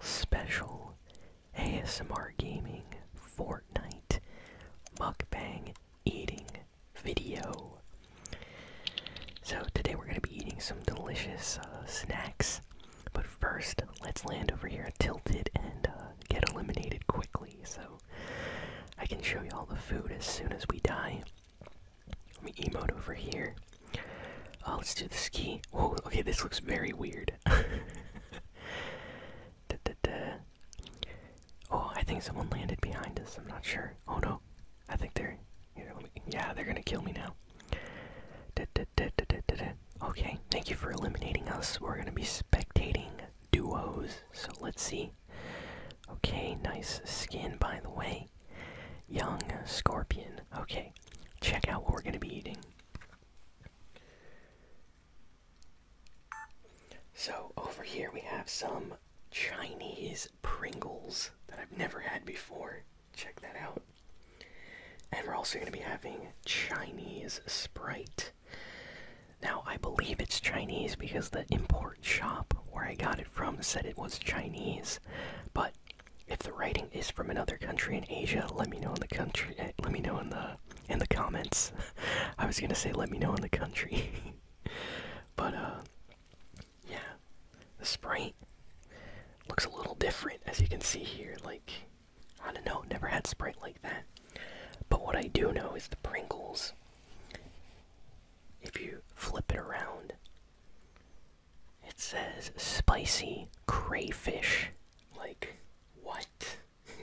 special ASMR gaming Fortnite mukbang eating video. So today we're going to be eating some delicious uh, snacks. But first, let's land over here tilted and uh, get eliminated quickly so I can show you all the food as soon as we die. Let me emote over here. Uh, let's do the ski. Whoa, okay, this looks very weird. Oh, I think someone landed behind us. I'm not sure. Oh no, I think they're. Here, yeah, they're gonna kill me now. Okay, thank you for eliminating us. We're gonna be spectating duos. So let's see. Okay, nice skin by the way. Young Scorpion. Okay, check out what we're going to be eating. So, over here we have some Chinese Pringles that I've never had before. Check that out. And we're also going to be having Chinese Sprite. Now, I believe it's Chinese because the import shop where I got it from said it was Chinese, but if the writing is from another country in Asia, let me know in the country. Eh, let me know in the in the comments. I was gonna say let me know in the country, but uh, yeah, the sprite looks a little different as you can see here. Like I don't know, never had sprite like that. But what I do know is the Pringles. If you flip it around, it says spicy crayfish. Like, what?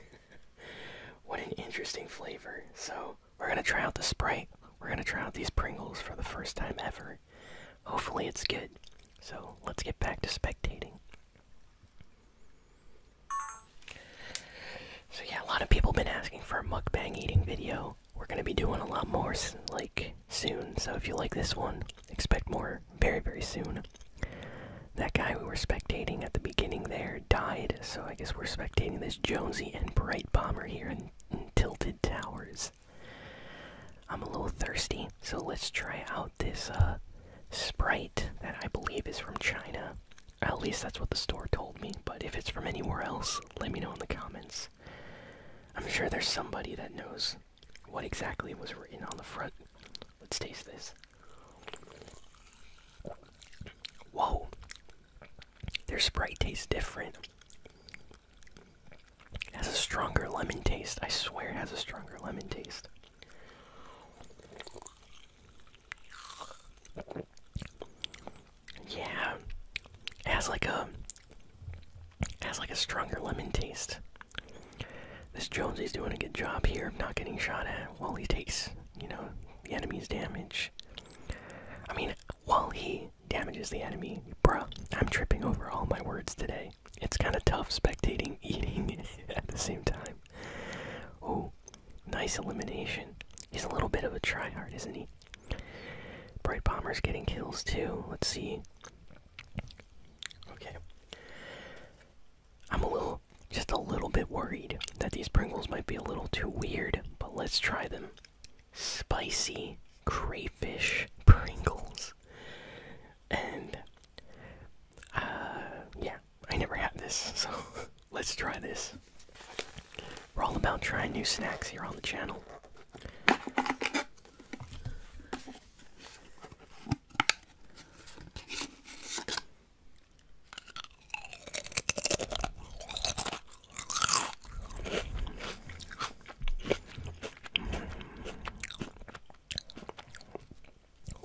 what an interesting flavor. So, we're gonna try out the Sprite. We're gonna try out these Pringles for the first time ever. Hopefully, it's good. So, let's get back to spectating. So yeah, a lot of people have been asking for a mukbang eating video. We're gonna be doing a lot more like soon. So if you like this one, expect more very, very soon. That guy we were spectating at the beginning there died, so I guess we're spectating this Jonesy and Bright Bomber here in, Tilted Towers. I'm a little thirsty, so let's try out this uh, Sprite that I believe is from China. At least that's what the store told me, but if it's from anywhere else, let me know in the comments. I'm sure there's somebody that knows what exactly was written on the front. Let's taste this. Whoa! Their Sprite tastes different. It has a stronger lemon taste. I swear it has a stronger lemon taste. Yeah. It has like a has like a stronger lemon taste. This Jonesy's doing a good job here of not getting shot at while he takes, you know, the enemy's damage. I mean, while he damages the enemy, bruh, I'm tripping over all my words today. It's kind of tough spectating eating at the same time. Oh, nice elimination. He's a little bit of a tryhard, isn't he? Bright Bomber's getting kills too. Let's see. Okay. I'm a little, just a little bit worried that these Pringles might be a little too weird, but let's try them. Spicy crayfish Pringles. And, uh, yeah, I never had this, so let's try this. We're all about trying new snacks here on the channel.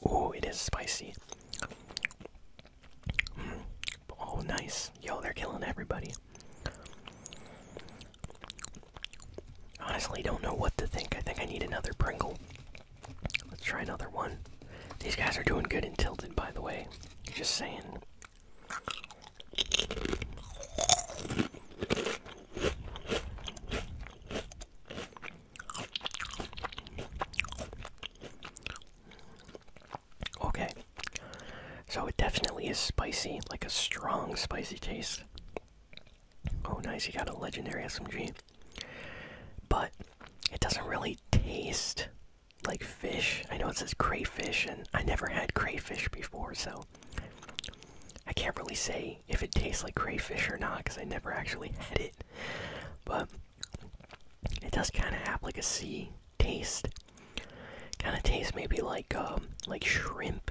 Oh, it is spicy. Oh, nice. Yo, they're killing everybody. Honestly, don't know what to think. I think I need another Pringle. Let's try another one. These guys are doing good in Tilted, by the way. Just saying. Okay. So it definitely is spicy, like a strong spicy taste. Oh, nice, you got a legendary SMG. But it doesn't really taste like fish. I know it says crayfish, and I never had crayfish before, so I can't really say if it tastes like crayfish or not because I never actually had it. But it does kind of have like a sea taste. Kind of tastes maybe like um, like shrimp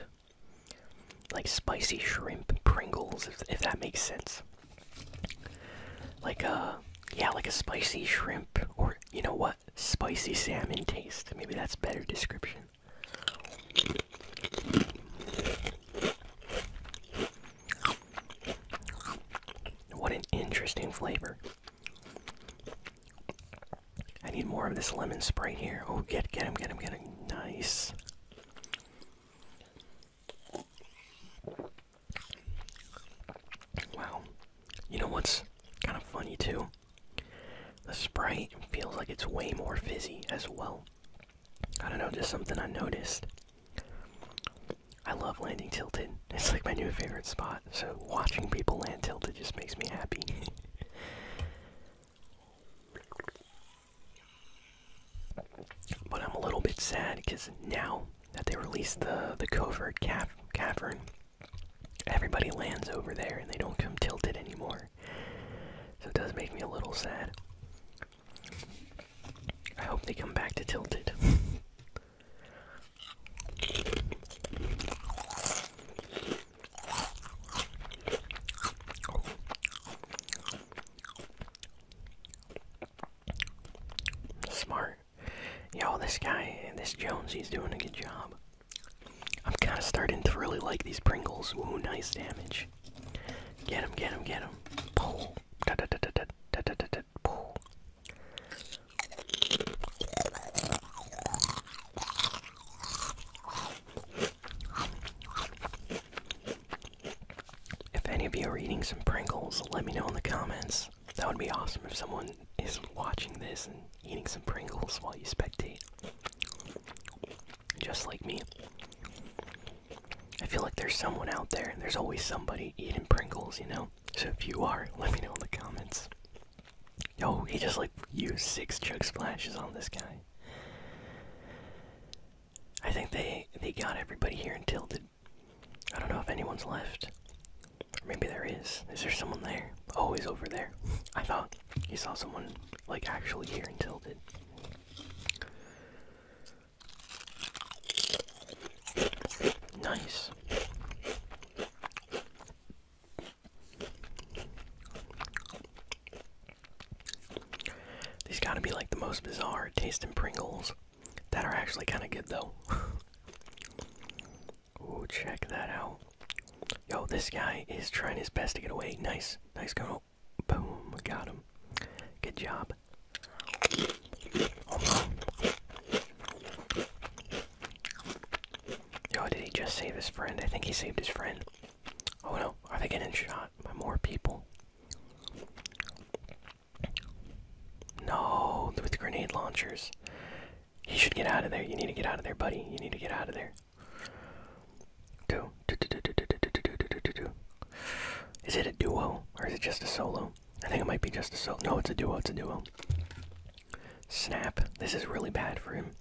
like spicy shrimp Pringles, if, that makes sense. Like a uh, yeah, like a spicy shrimp, or you know what, spicy salmon taste. Maybe that's better description. What an interesting flavor. I need more of this lemon spray here. Oh, get, get him, get him, get him. Nice. Wow. You know what's kind of funny too? The Sprite feels like it's way more fizzy as well. I don't know, just something I noticed. I love landing tilted. It's like my new favorite spot. So watching people land tilted just makes me happy. But I'm a little bit sad because now that they released the the covert cavern, everybody lands over there and they don't come tilted anymore. So it does make me a little sad. I hope they come back to tilted. Smart. Yo, this guy, this Jones, he's doing a good job. I'm kind of starting to really like these Pringles. Ooh, nice damage. Get him, get him, get him. Pull. If any of you are eating some Pringles, let me know in the comments. That would be awesome if someone is watching this and eating some Pringles while you spectate. Just like me. I feel like there's someone out there, and there's always somebody eating Pringles, you know? So if you are, let me know in the comments. Yo, he just like used six chug splashes on this guy. I think they they got everybody here in Tilted. I don't know if anyone's left. maybe there is. Is there someone there? Oh, he's over there. I thought you saw someone like actually here in Tilted. Nice. These gotta be like the most bizarre tasting Pringles that are actually kind of good though. Ooh, check that out. Yo, this guy is trying his best to get away. Nice, nice go. Boom, got him. Good job. Yo, did he just save his friend? I think he saved his friend. Oh no, are they getting shot? by more people. No, with grenade launchers. he should get out of there. You need to get out of there, buddy. You need to get out of there. Do, do, do, do, do, do, do, do, do, do, do. Is it a duo or is it just a solo? I think it might be just a solo. No, it's a duo. It's a duo. Snap. This is really bad for him.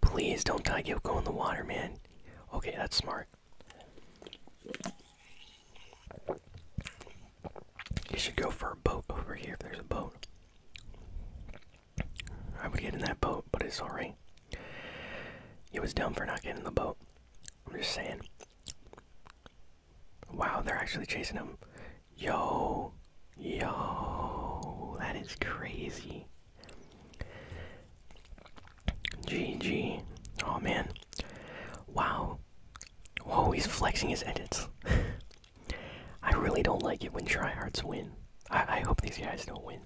Please don't die. Go in the water, man. Okay, that's smart. You should go for a boat over here if there's a boat. I would get in that boat, but it's alright. You was dumb for not getting the boat. I'm just saying. Wow, they're actually chasing him. Yo, yo, that is crazy. GG. Oh man. Wow. Whoa, he's flexing his edits. I really don't like it when tryhards win. I, I hope these guys don't win.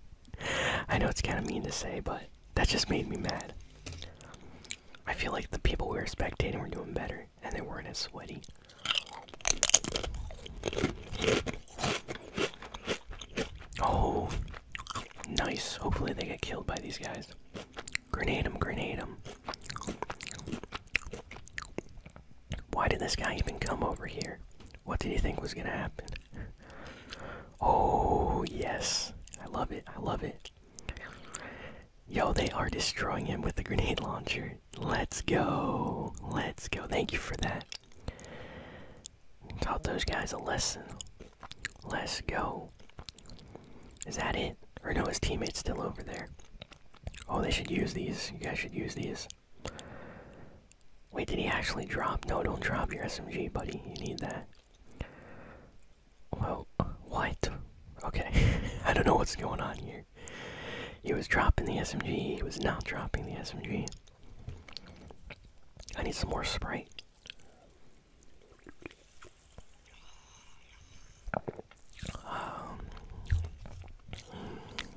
I know it's kind of mean to say, but that just made me mad. I feel like the people we were spectating were doing better, and they weren't as sweaty. Oh, nice. Hopefully they get killed by these guys. Grenade him, grenade him. Why did this guy even come over here? What did he think was gonna happen? Oh, yes. I love it. I love it. Yo, they are destroying him with the grenade launcher. Let's go. Let's go. Thank you for that. Taught those guys a lesson. Let's go. Is that it? Or no, his teammate's still over there. Oh, they should use these. You guys should use these. Wait, did he actually drop? No, don't drop your SMG, buddy. You need that. Well, what? Okay. I don't know what's going on here. He was dropping the SMG. He was not dropping the SMG. I need some more spray. Um,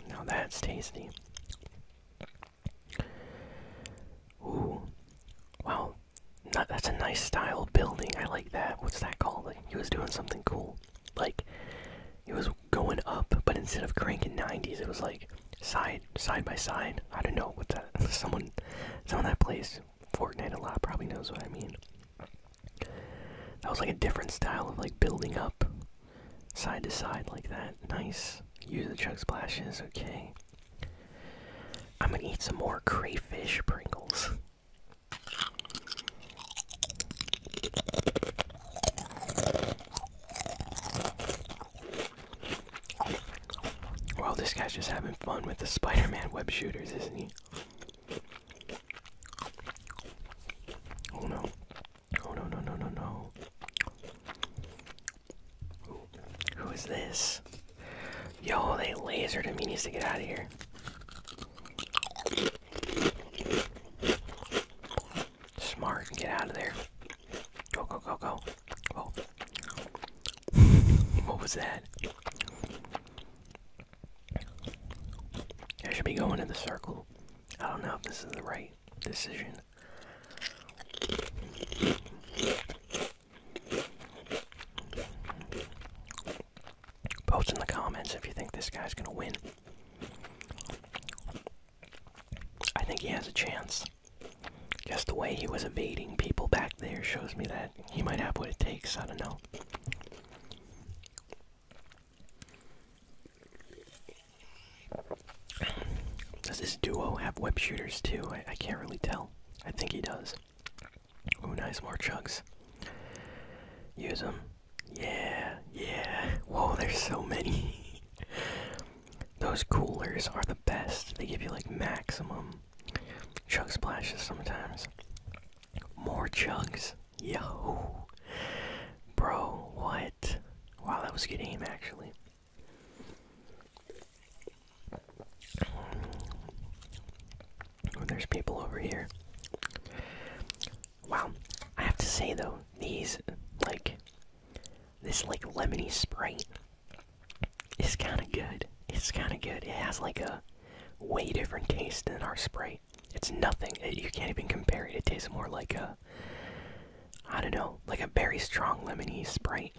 now that's tasty. Ooh. Wow. that's a nice style building. I like that. What's that called? he was doing something cool. Like, he was going up, but instead of cranking 90s, it was like side side by side. I don't know what that. Someone, someone that plays Fortnite a lot probably knows what I mean. That was like a different style of like building up side to side like that. Nice. Use the chug splashes. Okay. I'm gonna eat some more crayfish Pringles. Well, this guy's just having fun with the Spider Man web shooters, isn't he? Oh no. Oh no, no, no, no, no. Who is this? Yo, they lasered him. He needs to get out of here. Smart. Get out of there. Go, go, go, go. what was that? I should be going in the circle. I don't know if this is the right decision. Post in the comments if you think this guy's gonna win. I think he has a chance. Just the way he was evading people back there shows me that he might have what it takes. I don't know. Does this duo have web shooters too? I, I can't really tell. I think he does. Oh, nice more chugs. Use them. Yeah, yeah. Whoa, there's so many. Those coolers are the best. They give you like maximum chug splashes sometimes. More chugs. yeah, Bro, what? Wow, that was a good aim actually. Oh, there's people over here. Wow. I have to say though, these like this like lemony sprite is kind of good. It's kind of good. It has like a way different taste than our sprite. It's nothing. Uh, you can't even compare it. It tastes more like a I don't know, like a very strong lemony sprite.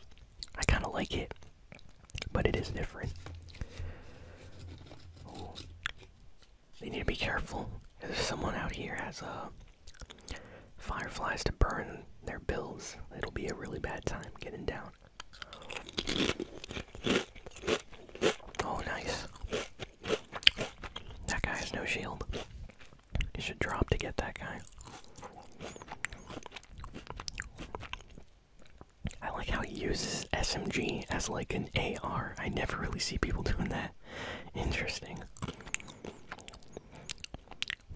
I kind of like it, but it is different. They need to be careful. If someone out here has a uh, fireflies to burn their bills, it'll be a really bad time getting down. Oh, nice. That guy has no shield. You should drop to get that guy. I like how he uses SMG as like an AR. I never really see people doing that. Interesting.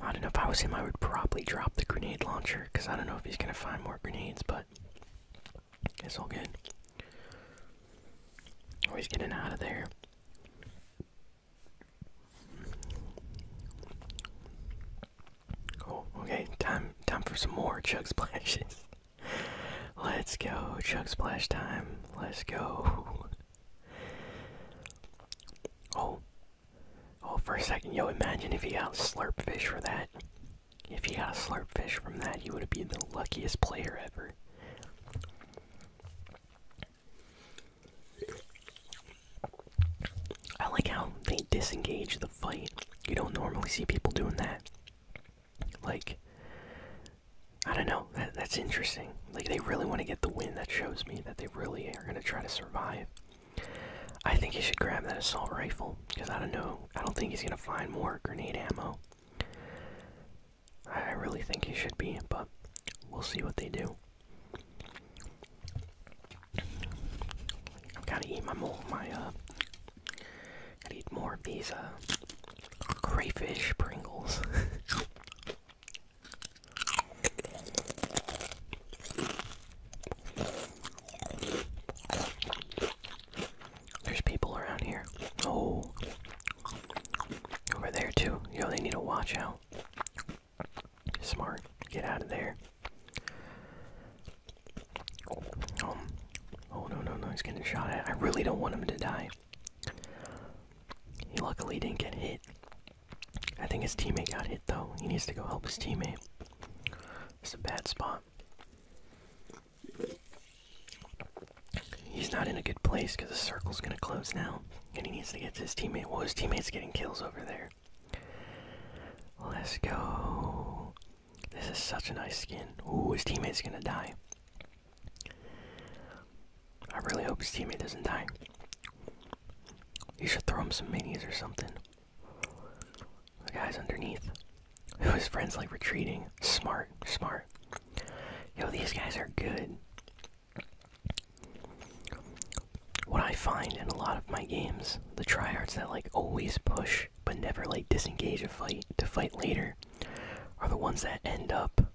I don't know if I was him, I would probably drop the grenade launcher because I don't know if he's gonna find more grenades, but it's all good. Oh, he's getting out of there. Cool. Okay, time time for some more chug splashes. Let's go, chug splash time. Let's go. Oh. Oh, for a second, yo, imagine if he got a slurp fish for that. If he got a slurp fish from that, he would have been the luckiest player ever. I like how they disengage the fight. You don't normally see people doing that. Like, I don't know. that's interesting. Like they really want to get the win. That shows me that they really are going to try to survive. I think he should grab that assault rifle because I don't know. I don't think he's going to find more grenade ammo. I really think he should be, but we'll see what they do. I've got to eat my mole, my uh. Got to more of these uh crayfish Pringles. There's people around here. Oh. Over there, too. Yo, they need to watch out. Smart. Get out of there. Um, oh, no, no, no. He's getting shot at. I really don't want him to die. He luckily didn't get hit. I think his teammate got hit though. He needs to go help his teammate. It's a bad spot. He's not in a good place because the circle's gonna close now, and he needs to get to his teammate. Well, his teammate's getting kills over there. Let's go. This is such a nice skin. Ooh, his teammate's gonna die. I really hope his teammate doesn't die. You should throw him some minis or something. The guy's underneath. Oh, his friend's like retreating. Smart, smart. Yo, these guys are good. What I find in a lot of my games, the tryhards that like always push but never like disengage a fight to fight later, are the ones that end up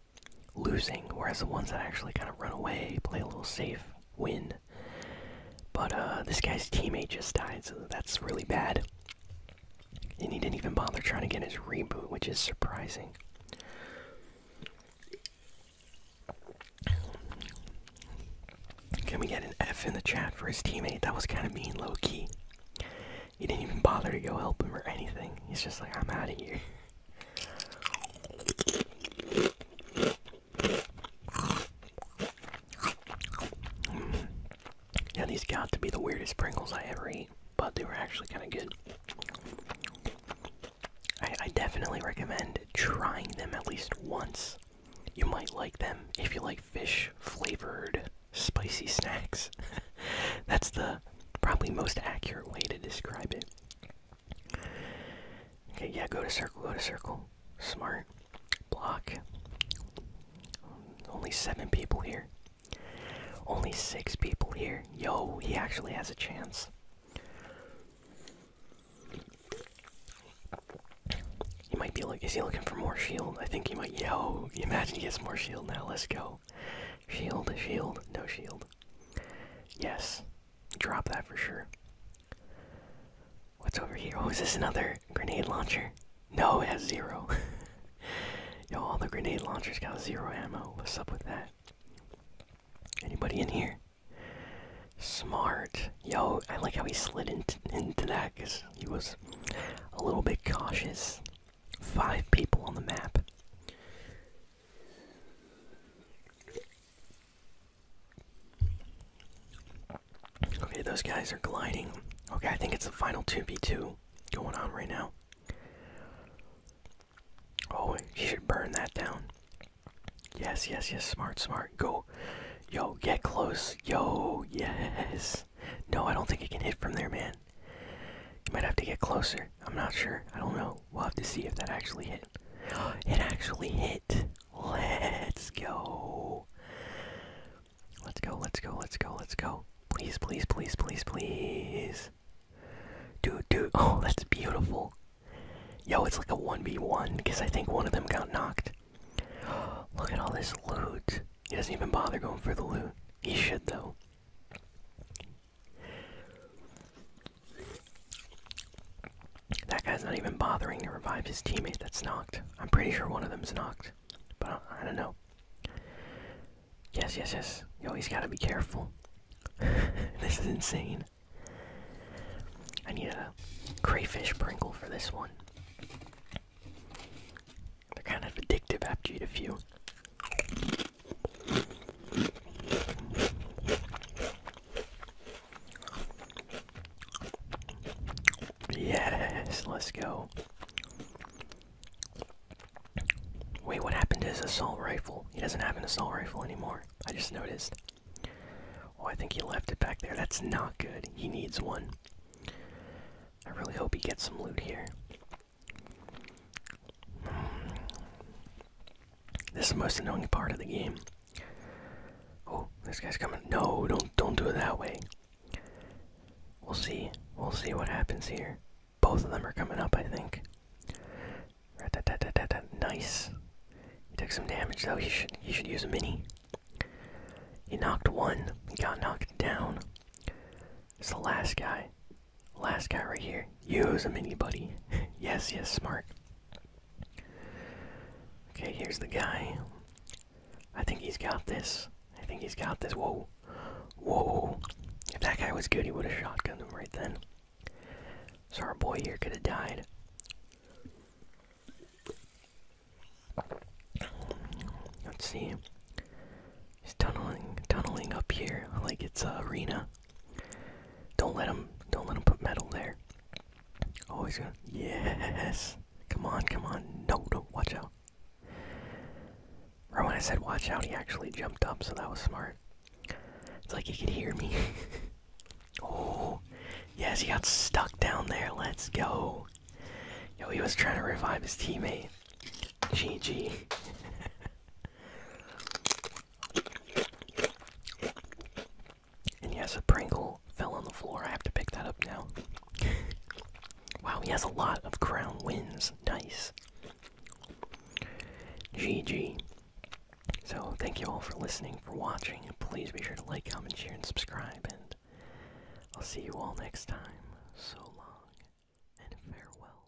losing, whereas the ones that actually kind of run away, play a little safe, win. But uh, this guy's teammate just died, so that's really bad. And he didn't even bother trying to get his reboot, which is surprising. Can we get an F in the chat for his teammate? That was kind of mean, low key. He didn't even bother to go help him or anything. He's just like, I'm out of here. Yeah, these got to be the weirdest Pringles I ever eat, but they were actually kind of good. I, I definitely recommend trying them at least once. You might like them if you like fish flavored spicy snacks. That's the probably most accurate way to describe it. Okay, yeah, go to circle, go to circle. Smart. Block. Only seven people here. Only six people here. Yo, he actually has a chance. He might be is he looking for more shield? I think he might. Yo, imagine he gets more shield now. Let's go. Shield, shield, no shield. Yes. Drop that for sure. What's over here? Oh, is this another grenade launcher? No, it has zero. Yo, all the grenade launchers got zero ammo. What's up with that? Anybody in here? Smart. Yo, I like how he slid into, into that because he was a little bit cautious. Five people on the map. Okay, those guys are gliding. Okay, I think it's the final 2v2 going on right now. Oh, he should burn that down. Yes, yes, yes, smart, smart. Go. Yo, get close. Yo, yes. No, I don't think it can hit from there, man. You might have to get closer. I'm not sure. I don't know. We'll have to see if that actually hit. It actually hit. Let's go. Let's go, let's go, let's go, let's go. Please, please, please, please, please. Dude, dude. Oh, that's beautiful. Yo, it's like a 1v1 because I think one of them got knocked. Look at all this loot. He doesn't even bother going for the loot. He should, though. That guy's not even bothering to revive his teammate that's knocked. I'm pretty sure one of them's knocked, but I don't know. Yes, yes, yes. You always gotta be careful. this is insane. I need a crayfish sprinkle for this one. They're kind of addictive after you eat a few. Yes, let's go. Wait, what happened to his assault rifle? He doesn't have an assault rifle anymore. I just noticed. Oh, I think he left it back there. That's not good. He needs one. I really hope he gets some loot here. This is the most annoying part of the game. Oh, this guy's coming. No, don't don't do it that way. We'll see. We'll see what happens here. Both of them are coming up, I think. Nice. took some damage though. He should he should use a mini. He knocked one. He got knocked down. It's the last guy. Last guy right here. Use a mini buddy. yes, yes, smart. Okay, here's the guy. I think he's got this. I think he's got this. Whoa. Whoa. If that guy was good, he would have shotgunned him right then. So our boy here could have died. Let's see. He's tunneling, tunneling up here like it's a arena. Don't let him. Don't let him put metal there. Oh, he's gonna. Yes. Come on, come on. No, no. Watch out. Right when I said watch out, he actually jumped up, so that was smart. It's like he could hear me. oh, yes, he got stuck down there. Let's go. Yo, he was trying to revive his teammate. GG. And yes, a Pringle fell on the floor. I have to pick that up now. wow, he has a lot of crown wins. Nice. GG. So, thank you all for listening, for watching. Please be sure to like, comment, share, and subscribe. And I'll see you all next time. So long and farewell.